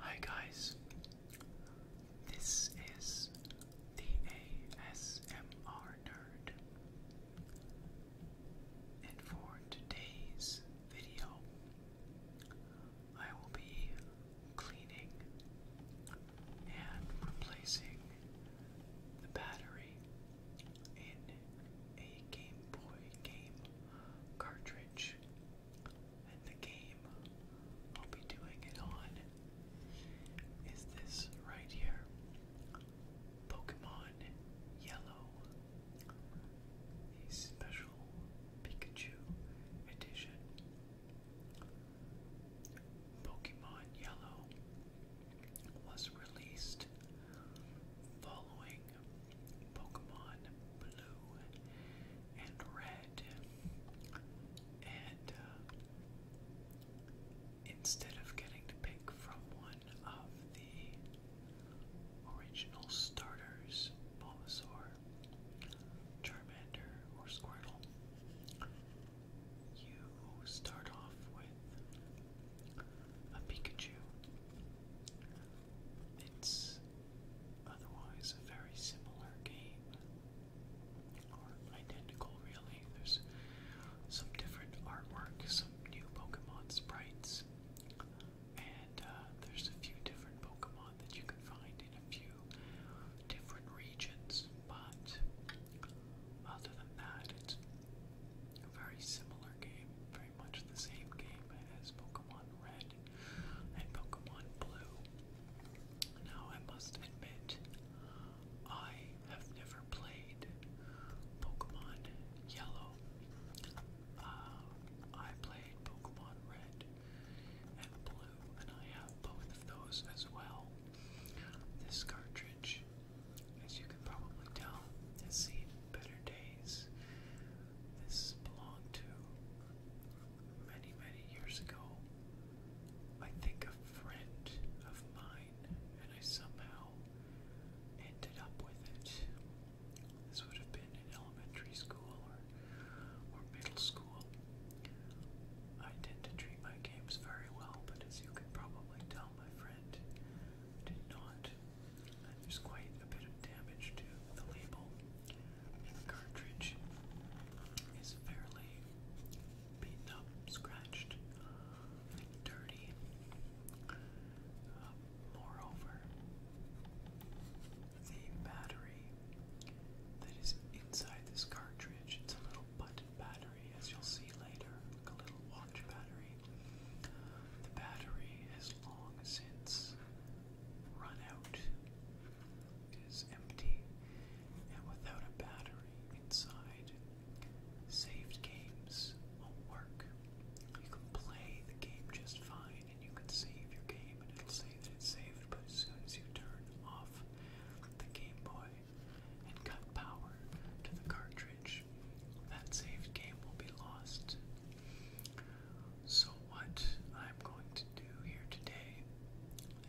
Hi guys, this is the ASMR Nerd, and for today's video, I will be cleaning and replacing the battery in a Game Boy game cartridge the game I'll be doing it on is this right here Pokemon Yellow, the special Pikachu edition. Pokemon Yellow was released following Pokemon Blue and Red, and uh, instead of getting to pick from one of the original starters, Bulbasaur, Charmander, or Squirtle, you start off with a Pikachu. It's otherwise a very similar game, or identical really. There's some different artwork, some new Pokemon sprites, and uh, there's a few different Pokemon that you can find in a few different regions, but other than that, it's a very similar game, very much the same game as Pokemon Red and Pokemon Blue. Now, I must admit, I have never played Pokemon Yellow. Uh, I played Pokemon Red and Blue, and I have both of those as well. This cartridge, as you can probably tell, is seen better days. This belonged to many, many years ago. I think a friend of mine, and I somehow ended up with it. This would have been in elementary school or, or middle school. I tend to treat my games very well, but as you can probably tell, my friend did not. There's quite a bit of damage to the label. The cartridge is fairly beaten up, scratched, and dirty. Uh, moreover, the battery that is inside this cartridge, it's a little button battery, as you'll see later, like a little watch battery. The battery has long since run out is empty and without a battery inside, saved games won't work. You can play the game just fine and you can save your game and it'll say that it's saved, but as soon as you turn off the Game Boy and cut power to the cartridge, that saved game will be lost. So, what I'm going to do here today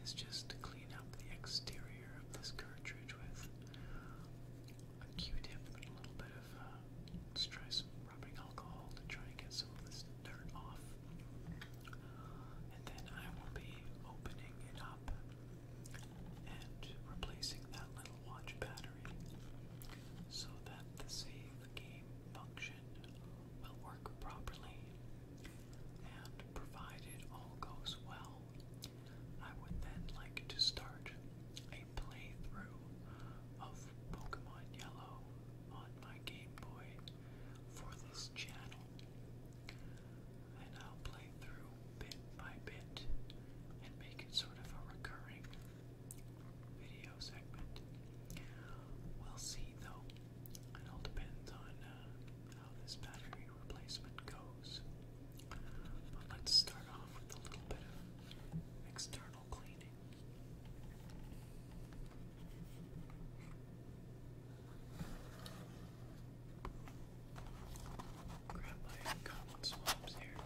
is just to clean up the exterior of this cartridge with a Q tip and a little bit of, let's try some rubbing alcohol to try and get some of this dirt off. And then I will be opening it up and replacing that little watch battery so that the save game function will work properly, and provided all goes well, I would then like to start a playthrough of Pokemon Yellow on my Game Boy for this channel. And I'll play through bit by bit and make it sort of a recurring We'll see though. It all depends on uh, how this battery replacement goes. But let's start off with a little bit of external cleaning. Grab my cotton swabs here.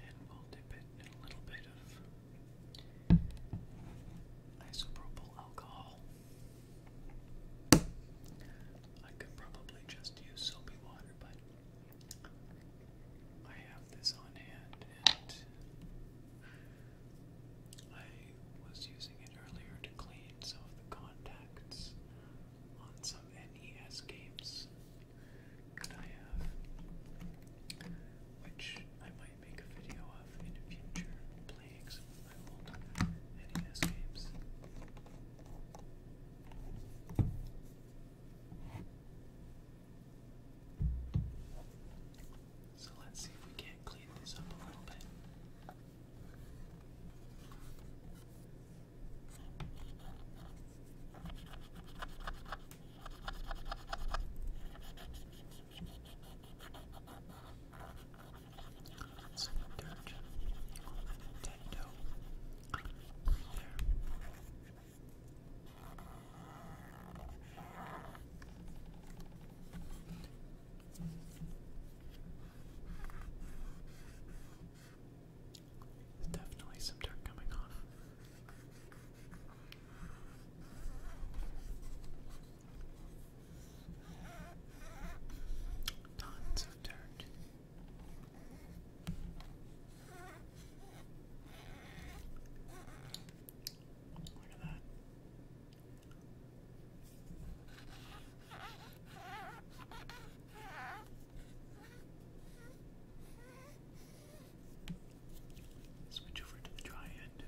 And we'll dip it in a little bit of isopropyl alcohol. I could probably just use soapy water, but I have this on hand and I was using it earlier to clean some of the contacts on some NES games which I might make a video of in the future, playing some of my old NES games. So let's see if we can't clean this up a little bit. Some dirt on the Nintendo right there. There's definitely some dirt coming off. Tons of dirt. Look at that. Switch over to the dry end.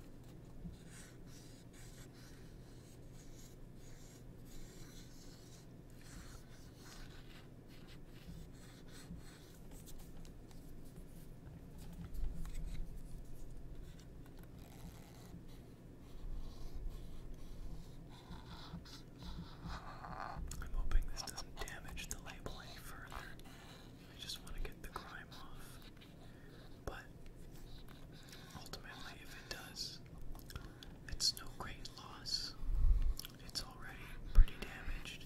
I'm hoping this doesn't damage the label any further. I just want to get the grime off. But ultimately, if it does, it's no great loss. It's already pretty damaged.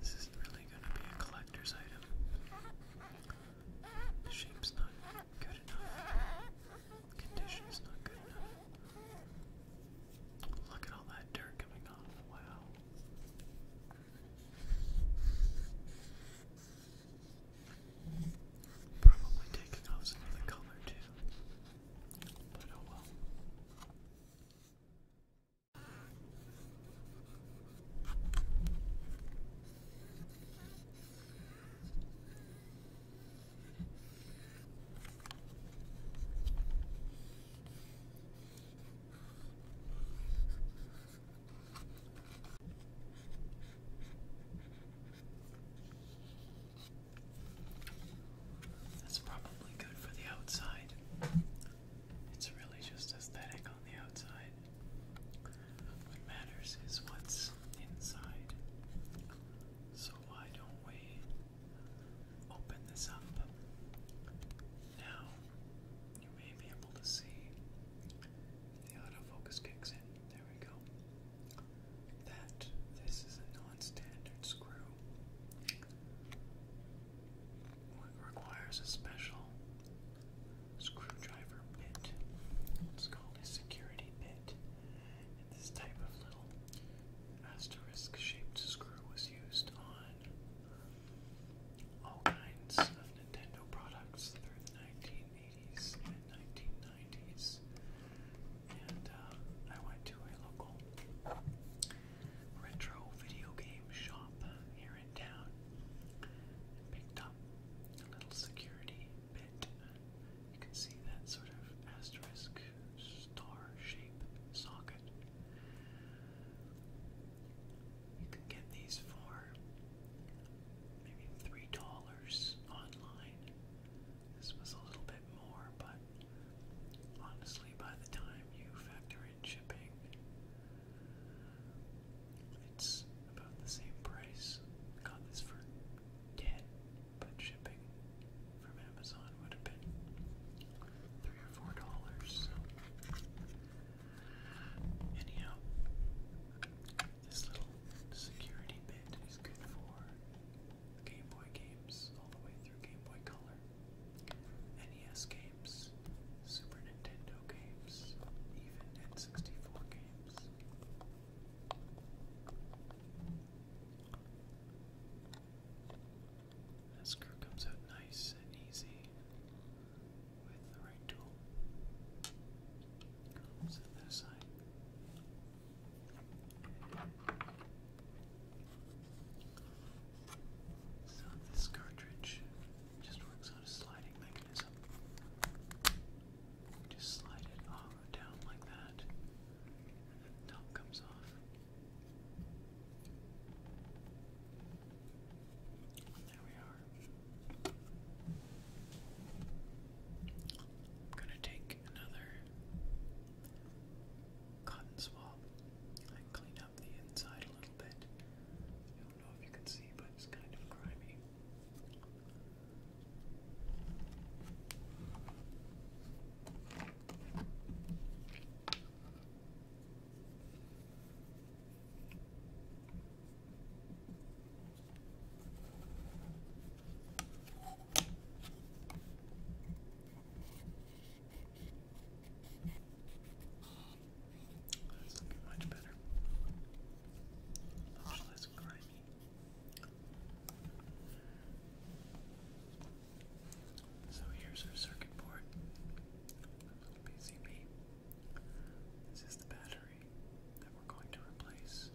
This isn't really going to be a collector's item. The shape's not good enough. Condition's not good enough. Look at all that dirt coming off. Wow. Probably taking off some of the color too. But oh well. That's probably good for the outside. It's really just aesthetic on the outside. What matters is what's inside. So why don't we open this up. Now you may be able to see the autofocus kicks in. There we go. That this is a non-standard screw. It requires a special screwdriver bit. It's called a security bit. And this type of little Asterisk shaped screw was used on all kinds of Nintendo products through the 1980s and 1990s. And uh, I went to a local retro video game shop here in town and picked up a little security bit. You can see that sort of asterisk star shape socket you can get these for maybe three dollars online. This was a little bit more, but honestly, by the time you factor in shipping, it's about the same price. got this for ten, but shipping from Amazon would have been three or four dollars. So anyhow, this little security bit is good for Game Boy games all the way through Game Boy Color, NES games, Super Nintendo games, even N64 games. This screw comes out nice and easy with the right tool. Let's set that So this cartridge just works on a sliding mechanism. Just slide it down like that, top comes off. There we are. I'm gonna take another cotton swab and clean up the inside a little bit. I don't know if you can see, but it's kind of grimy. That's looking much better. Much less grimy. So here's our circuit board, PCB. This is the battery that we're going to replace.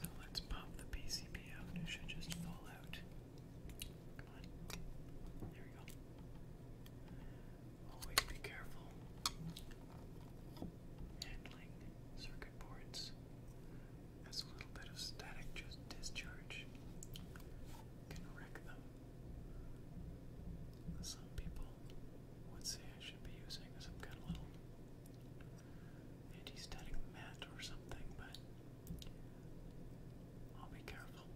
So let's pop the PCB out. It should just fall out. Come on. There we go. Always be careful handling circuit boards as a little bit of static just discharge can wreck them. Some people would say I should be using some kind of little anti-static mat or something, but I'll be careful.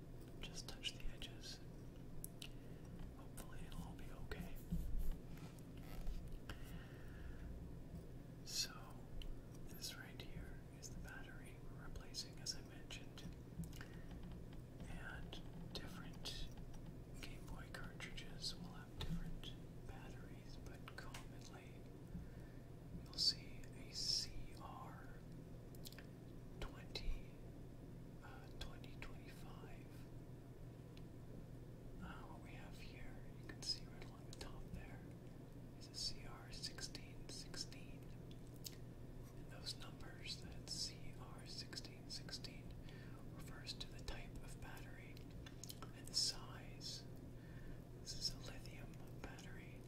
Just touch the edges. Hopefully it'll all be okay. So, this right here is the battery we're replacing, as I mentioned, and different Game Boy cartridges will have different batteries, but commonly you'll see a CR 20, uh, uh, what we have here, you can see right along the top there is a CR1616. And those numbers, that CR1616, refers to the type of battery and the size. This is a lithium battery,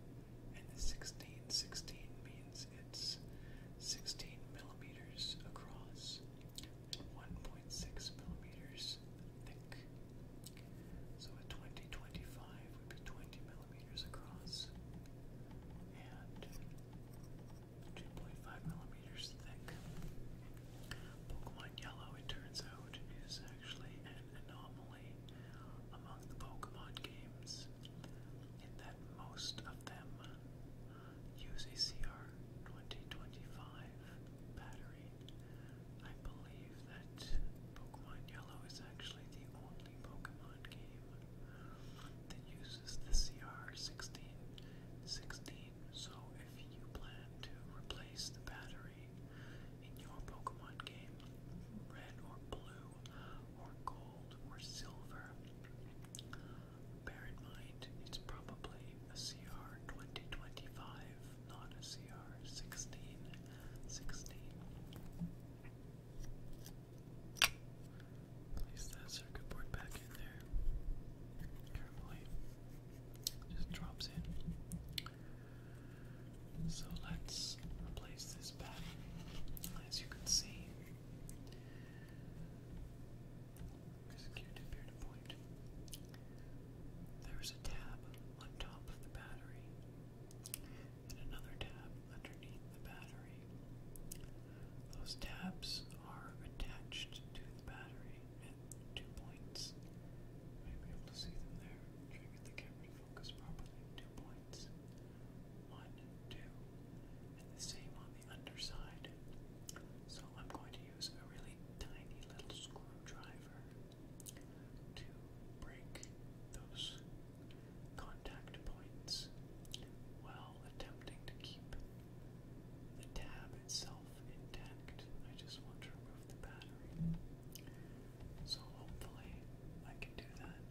and the 1616 means it's 16 millimeters across and 1.6 millimeters thick. So a 2025 would be 20 millimeters across and 2.5 millimeters thick. Pokemon Yellow, it turns out, is actually an anomaly among the Pokemon games in that most of them use a CR2025 battery. I believe that Pokemon Yellow is actually the only Pokemon game that uses the CR1616, so if you plan to replace the battery in your Pokemon game, red or blue or gold or silver, bear in mind it's probably a CR2025, not a CR1616. Place that circuit board back in there. Carefully. Just drops in. So let's replace this pattern. As you can see, there's a Q-tip point. There's a tab on top of the battery and another tab underneath the battery. Those tabs are attached to the battery at two points. You may be able to see them there. Try to get the camera to focus properly. Two points. One, two. And the same on the underside. So I'm going to use a really tiny little screwdriver to break those contact points while attempting to keep the tab itself intact. I just want to remove the battery. So hopefully I can do that.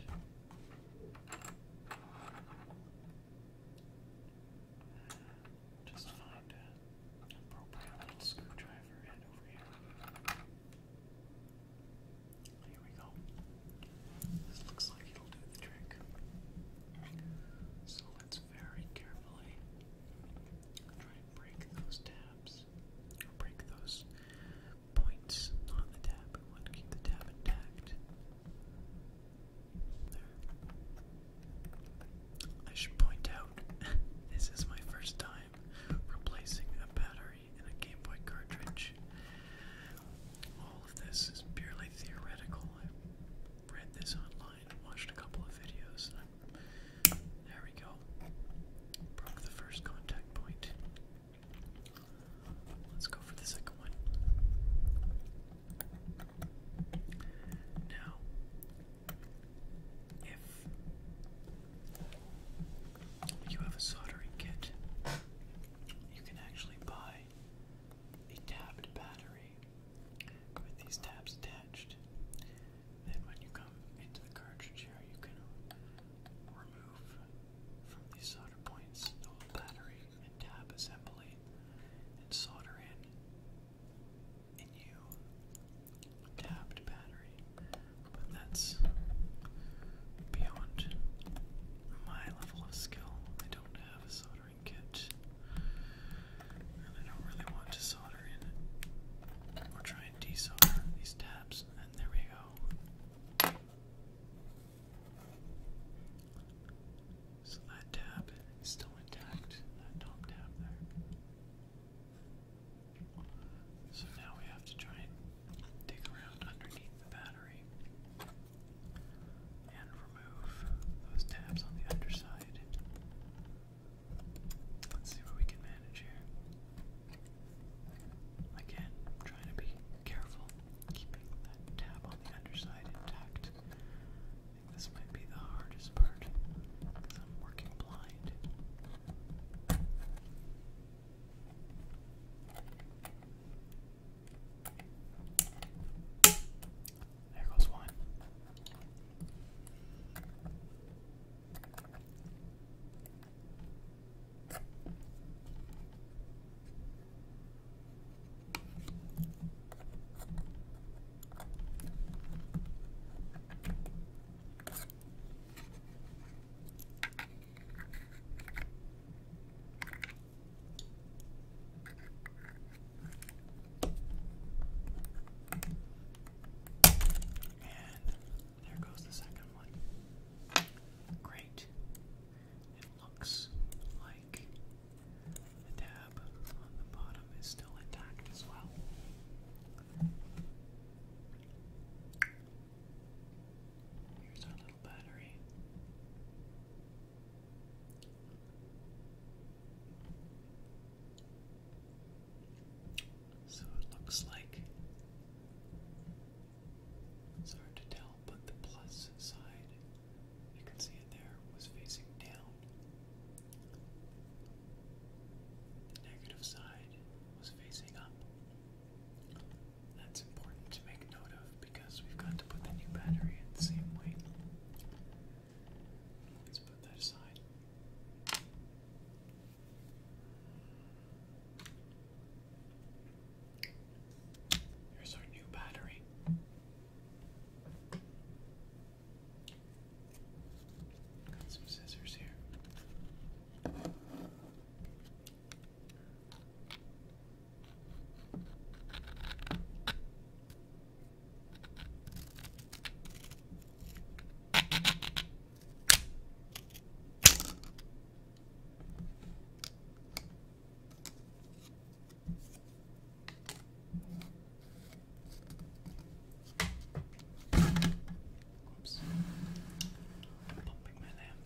Just find an appropriate screwdriver and over here. Here we go. This looks like it'll do the trick. So let's very carefully try and break those tabs, break those points on the tab. We want to keep the tab intact. There. I should point out, this is my first time replacing a battery in a Game Boy cartridge. All of this is purely theoretical. I read this online, watched a couple of videos, there we go. Broke the first contact point. Let's go for the second one. Now, if you have a soldering kit, you can actually buy a tabbed battery with these tabs attached. Then, when you come into the cartridge here, you can remove from these solder points the whole battery and tab assembly and solder in a new tabbed battery but that's beyond my level of skill. I don't have a soldering kit, and I don't really want to solder in or try and desolder these tabs. And there we go. So that tab is still intact, that top tab there. So now we have to try and dig around underneath the battery and remove those tabs on the underside. Let's see what we can manage here. Again, trying to be careful, keeping that tab on the underside intact. I think this might be the hardest part because I'm working blind. There goes one. And there goes the second one. Great. It looks like the tab on the bottom is still intact as well. Here's our little battery. So it looks like it's hard to tell, but the plus side, you can see it there, was facing down. The negative side was facing up. That's important to make note of because we've got to put the new battery in the same way. Let's put that aside. Here's our new battery. Got some scissors here. Oops. Pumping my lamp.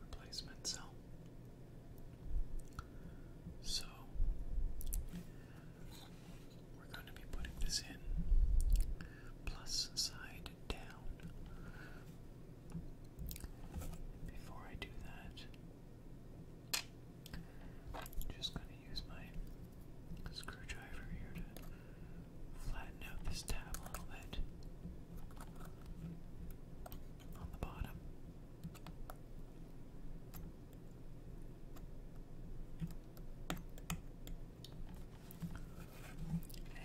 replacement cell. So we're going to be putting this in plus side down. Before I do that, just going to use my screwdriver here flatten out this tab a little bit on the bottom. And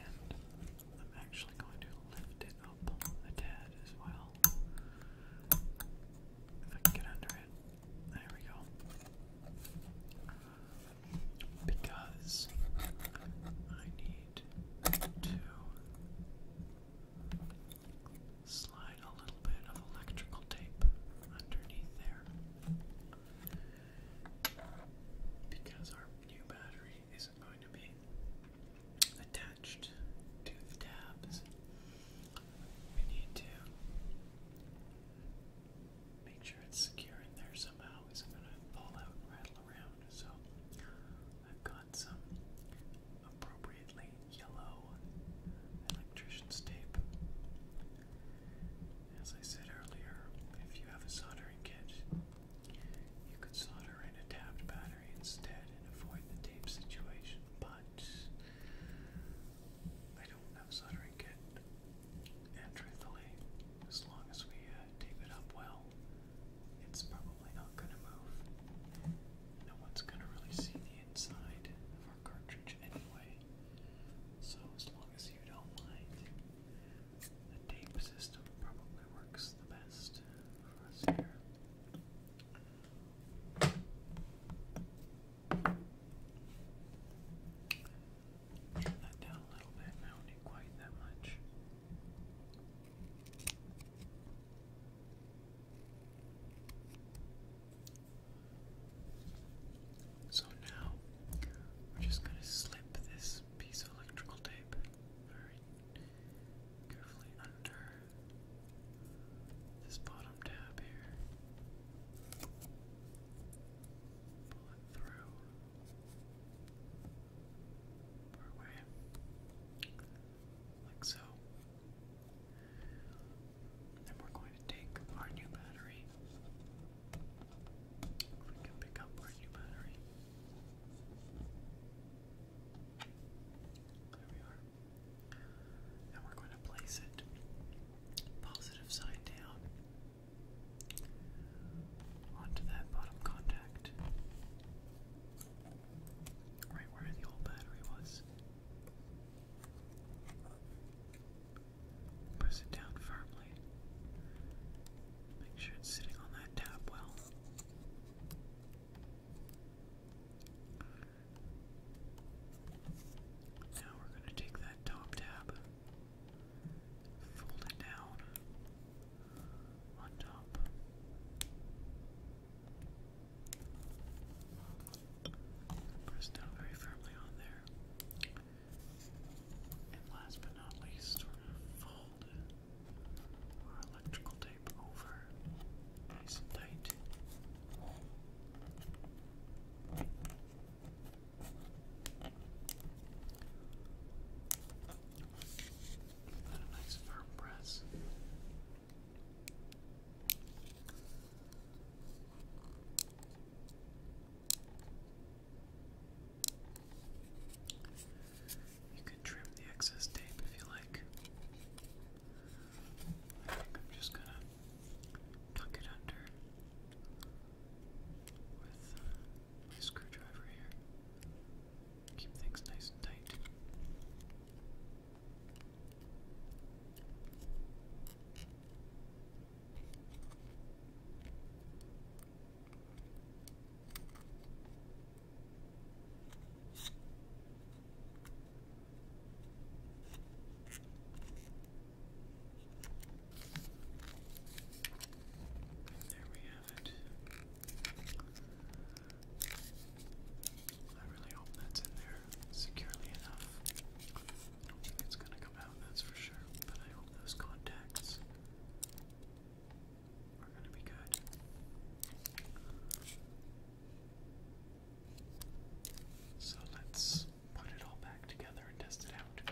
I'm actually going to lift it up a tad as well. If I can get under it. There we go. Because I need to slide a little bit of electrical tape underneath there because our new battery isn't going to be attached to the tabs. We need to make sure it's secure in there somehow. is going to fall out right so I've got some appropriately yellow electrician's tape. As I said earlier, if you have a soldering kit, you could solder in a tapped battery instead and avoid the tape situation, but I don't have a soldering kit, and as long as we uh, tape it up well, it's probably not going to move. No one's going to really see the inside of our cartridge anyway. So as long as you don't mind, the tape system probably works the best for us here. Turn that down a little bit. not need quite that much. So now we're just going to slip this piece of electrical tape very carefully under this bottom tab here. Pull it through part way, like so. Then we're going to take our new battery. If we can pick up our new battery. There we are. And we're going to place it positive side down onto that bottom contact. Right where the old battery was. Press it down firmly. Make sure it's sitting on that tab well. Now we're going to take that top tab, fold it down, on top. Press very firmly on there. And last but not least, fold our electrical tape over nice and tight. Then a nice firm press. You can trim the excess tape if you like. I think I'm just gonna tuck it under with my screwdriver here. Keep things nice and tight. There we have it. I really hope that's in there securely enough. I don't think it's gonna come out, that's for sure, but I hope those contacts are gonna be good. So let's put it all back together and test it out.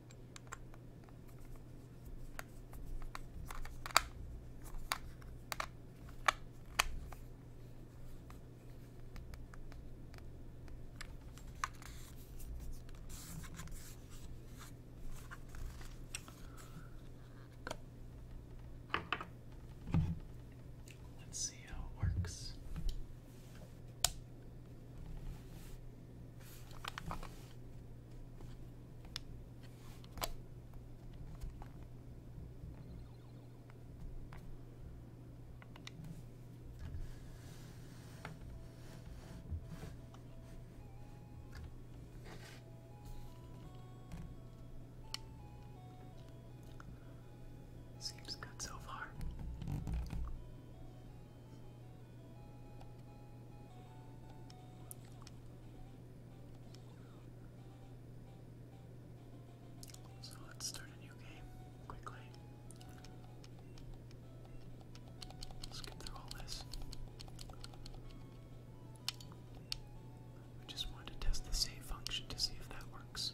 Let's see how it works. Seems good so far. So let's start a new game quickly. Let's get through all this. We just want to test the save function to see if that works.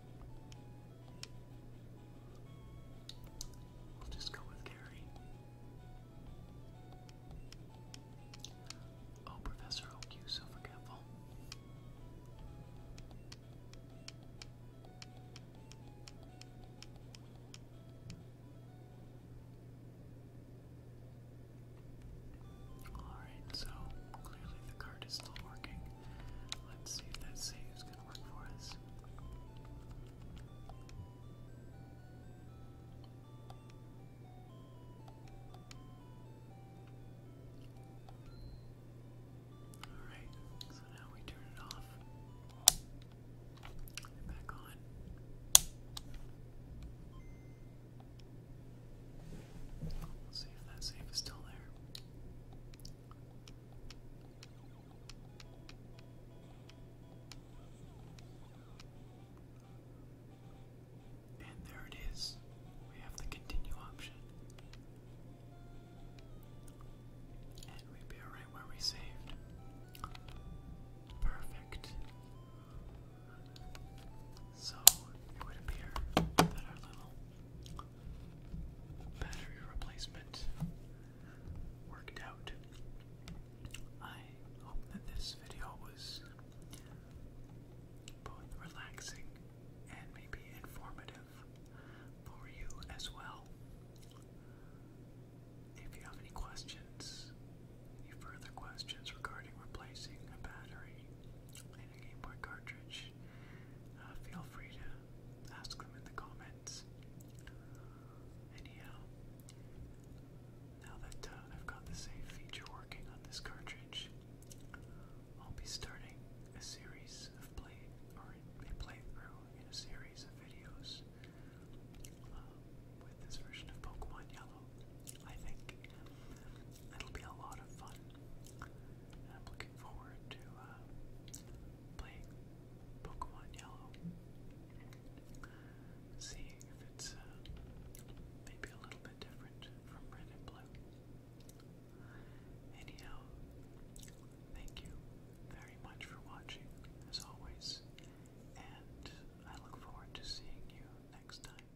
We'll just go with Gary. Oh, Professor Oak, you so forgetful. Alright, so clearly the card is still working. Let's see if that saves going to Alright, so now we turn it off. Back on. see if that safe is still there. And there it is. We have the continue option. And we'd right where we saved. Perfect. So it would appear that our little battery replacement worked out. I hope that this video was both relaxing and maybe informative for you as well. If you have any questions, any further questions regarding replacing a battery in a Game Boy cartridge, uh, feel free to ask them in the comment Anyhow, now that uh, I've got the save feature working on this cartridge, I'll be starting a series of play or a playthrough in a series of videos uh, with this version of Pokemon Yellow. I think it'll be a lot of fun. And I'm looking forward to uh, playing Pokemon Yellow, seeing if it's uh, maybe a little bit different from Red and Blue. Anyhow, thank you very much for watching, as always, and I look forward to seeing you next time.